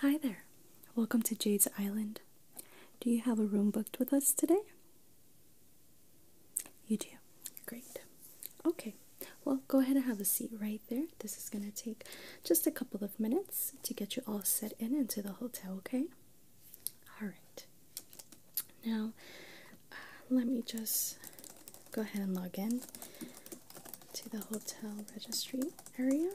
Hi there. Welcome to Jade's Island. Do you have a room booked with us today? You do. Great. Okay well, go ahead and have a seat right there. This is going to take just a couple of minutes to get you all set in into the hotel, okay? All right. Now, let me just go ahead and log in to the hotel registry area.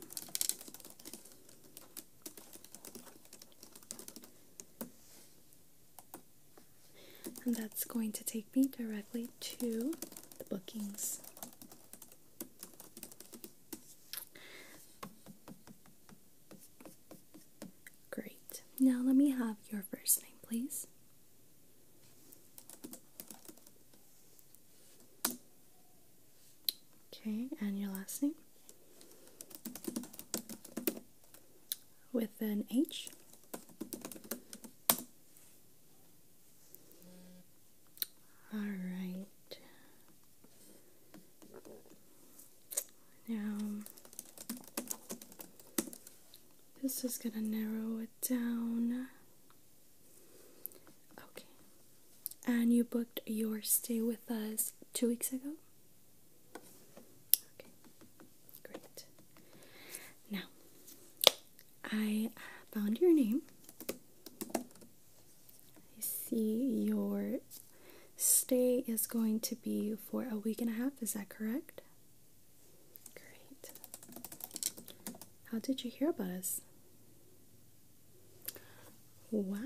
And that's going to take me directly to the bookings. Great. Now let me have your first name, please. Okay, and your last name? with an H. All right. Now, this is going to narrow it down. Okay. And you booked your stay with us two weeks ago? Okay, great. Now, I found your name. I see your stay is going to be for a week and a half. Is that correct? Great. How did you hear about us? Wow.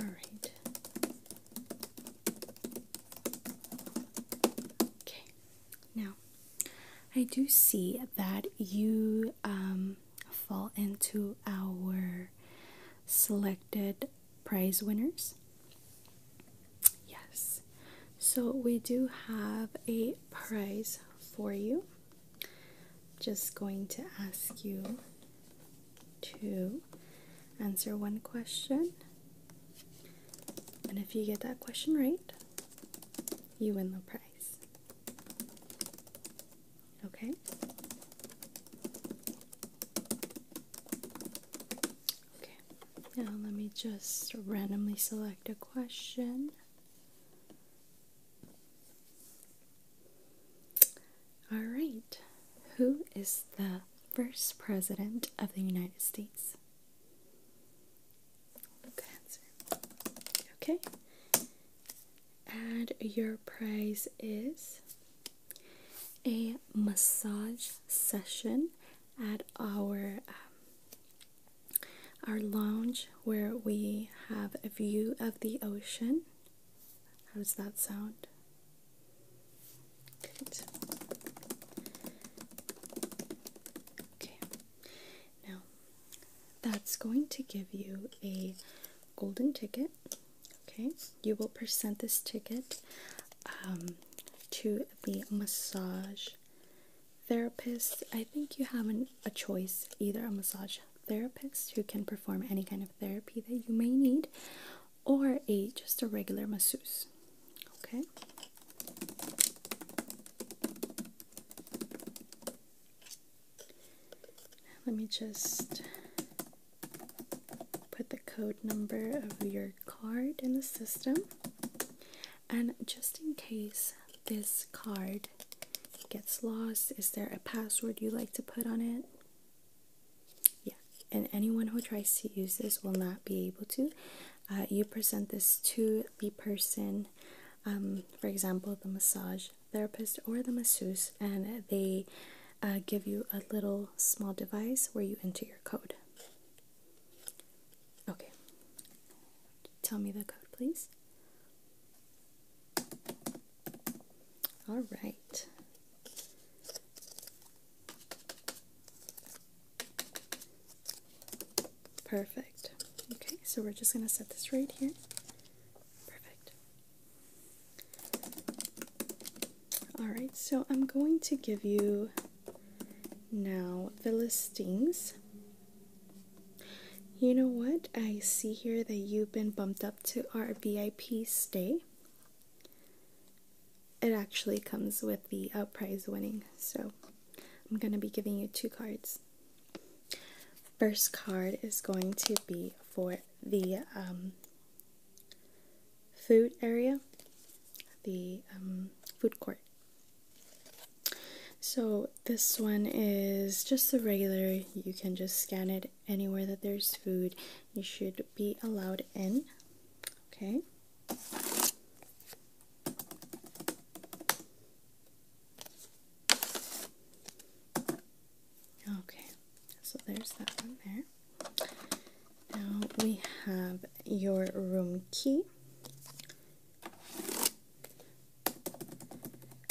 All right. Okay, now I do see that you um, fall into our selected prize winners. Yes, so we do have a prize for you. Just going to ask you to answer one question. And if you get that question right, you win the prize. Okay? Okay, now let me just randomly select a question. All right. Who is the first president of the United States? Good answer. Okay. And your prize is a massage session at our um, our lounge where we have a view of the ocean. How does that sound? Okay. Now, that's going to give you a golden ticket. Okay. You will present this ticket um, to the massage therapist. I think you have a choice either a massage Therapists who can perform any kind of therapy that you may need or a just a regular masseuse okay let me just put the code number of your card in the system and just in case this card gets lost is there a password you like to put on it yeah, and anyone who tries to use this will not be able to. Uh, you present this to the person, um, for example, the massage therapist or the masseuse, and they uh, give you a little small device where you enter your code. Okay, tell me the code, please. All right. Perfect. Okay, so we're just going to set this right here. Perfect. Alright, so I'm going to give you now the listings you know what? I see here that you've been bumped up to our VIP stay. It actually comes with the uh, prize winning, so I'm going to be giving you two cards. First card is going to be for the um, food area, the um, food court. So this one is just the regular. You can just scan it anywhere that there's food. You should be allowed in. Okay. Okay, so there's that one there. Now we have your room key.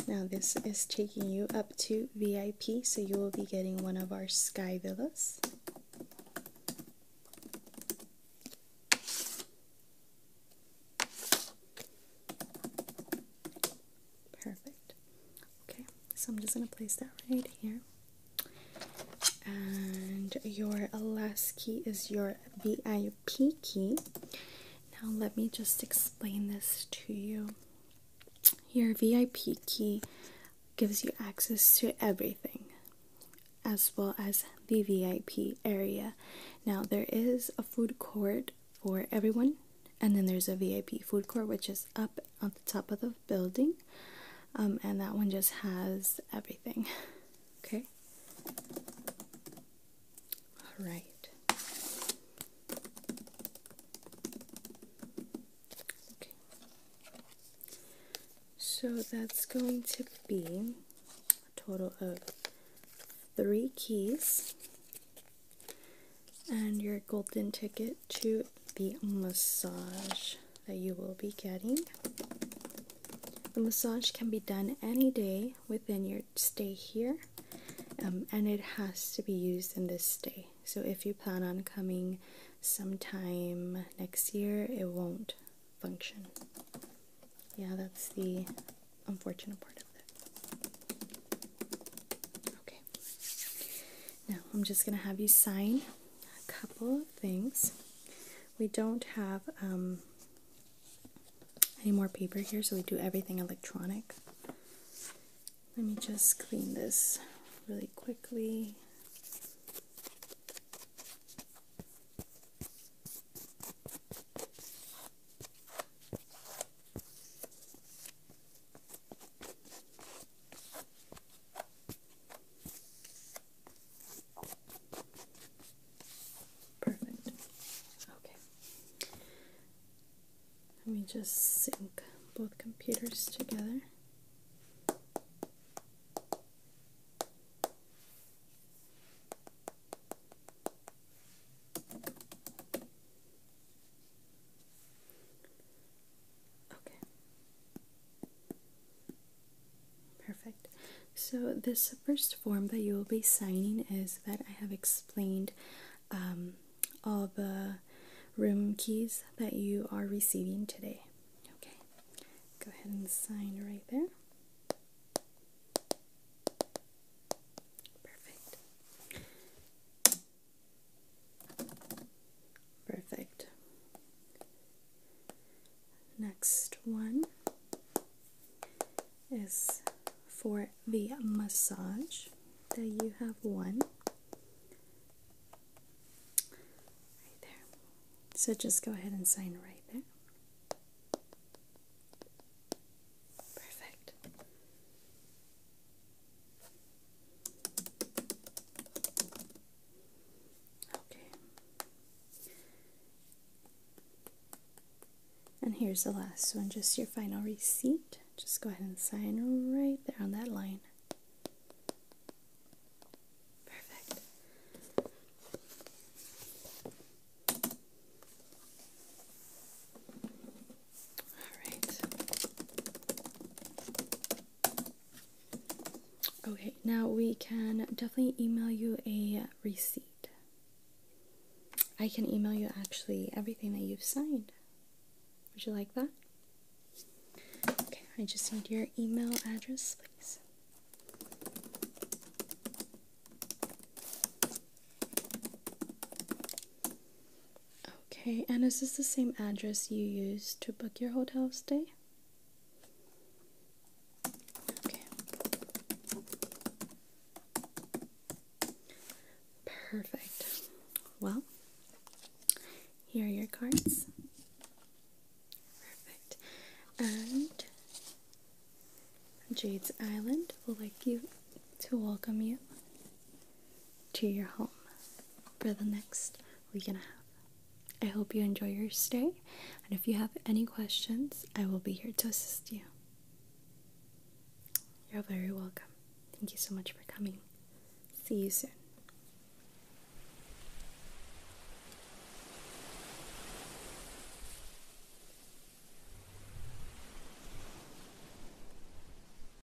Now this is taking you up to VIP, so you will be getting one of our sky villas. Perfect. Okay, so I'm just going to place that right here. And your last key is your VIP P Now, let me just explain this to you. Your VIP key gives you access to everything, as well as the VIP area. Now, there is a food court for everyone, and then there's a VIP food court, which is up on the top of the building, um, and that one just has everything. Okay, all right. Okay. So that's going to be a total of three keys and your golden ticket to the massage that you will be getting. The massage can be done any day within your stay here, um, and it has to be used in this stay. So if you plan on coming sometime next year, it won't function. Yeah, that's the unfortunate part of it. Okay. Now, I'm just going to have you sign a couple of things. We don't have um, any more paper here, so we do everything electronic. Let me just clean this really quickly. Perfect. Okay. Let me just sync both computers together. Okay. Perfect. So, this first form that you will be signing is that I have explained um, all the room keys that you are receiving today. Okay, go ahead and sign right there. Perfect. Perfect. Next one is for the massage. There you have one. Right there. So just go ahead and sign right there. Perfect. Okay. And here's the last one, just your final receipt. Just go ahead and sign right there on that line. Perfect. All right. Okay, now we can definitely email you a receipt. I can email you actually everything that you've signed. Would you like that? Okay, I just need your email address, please. Okay, and is this the same address you used to book your hotel stay? Okay. Perfect. Well, here are your cards. Perfect. And Jade's Island will like you to welcome you to your home for the next week and a half. I hope you enjoy your stay, and if you have any questions, I will be here to assist you. You're very welcome. Thank you so much for coming. See you soon.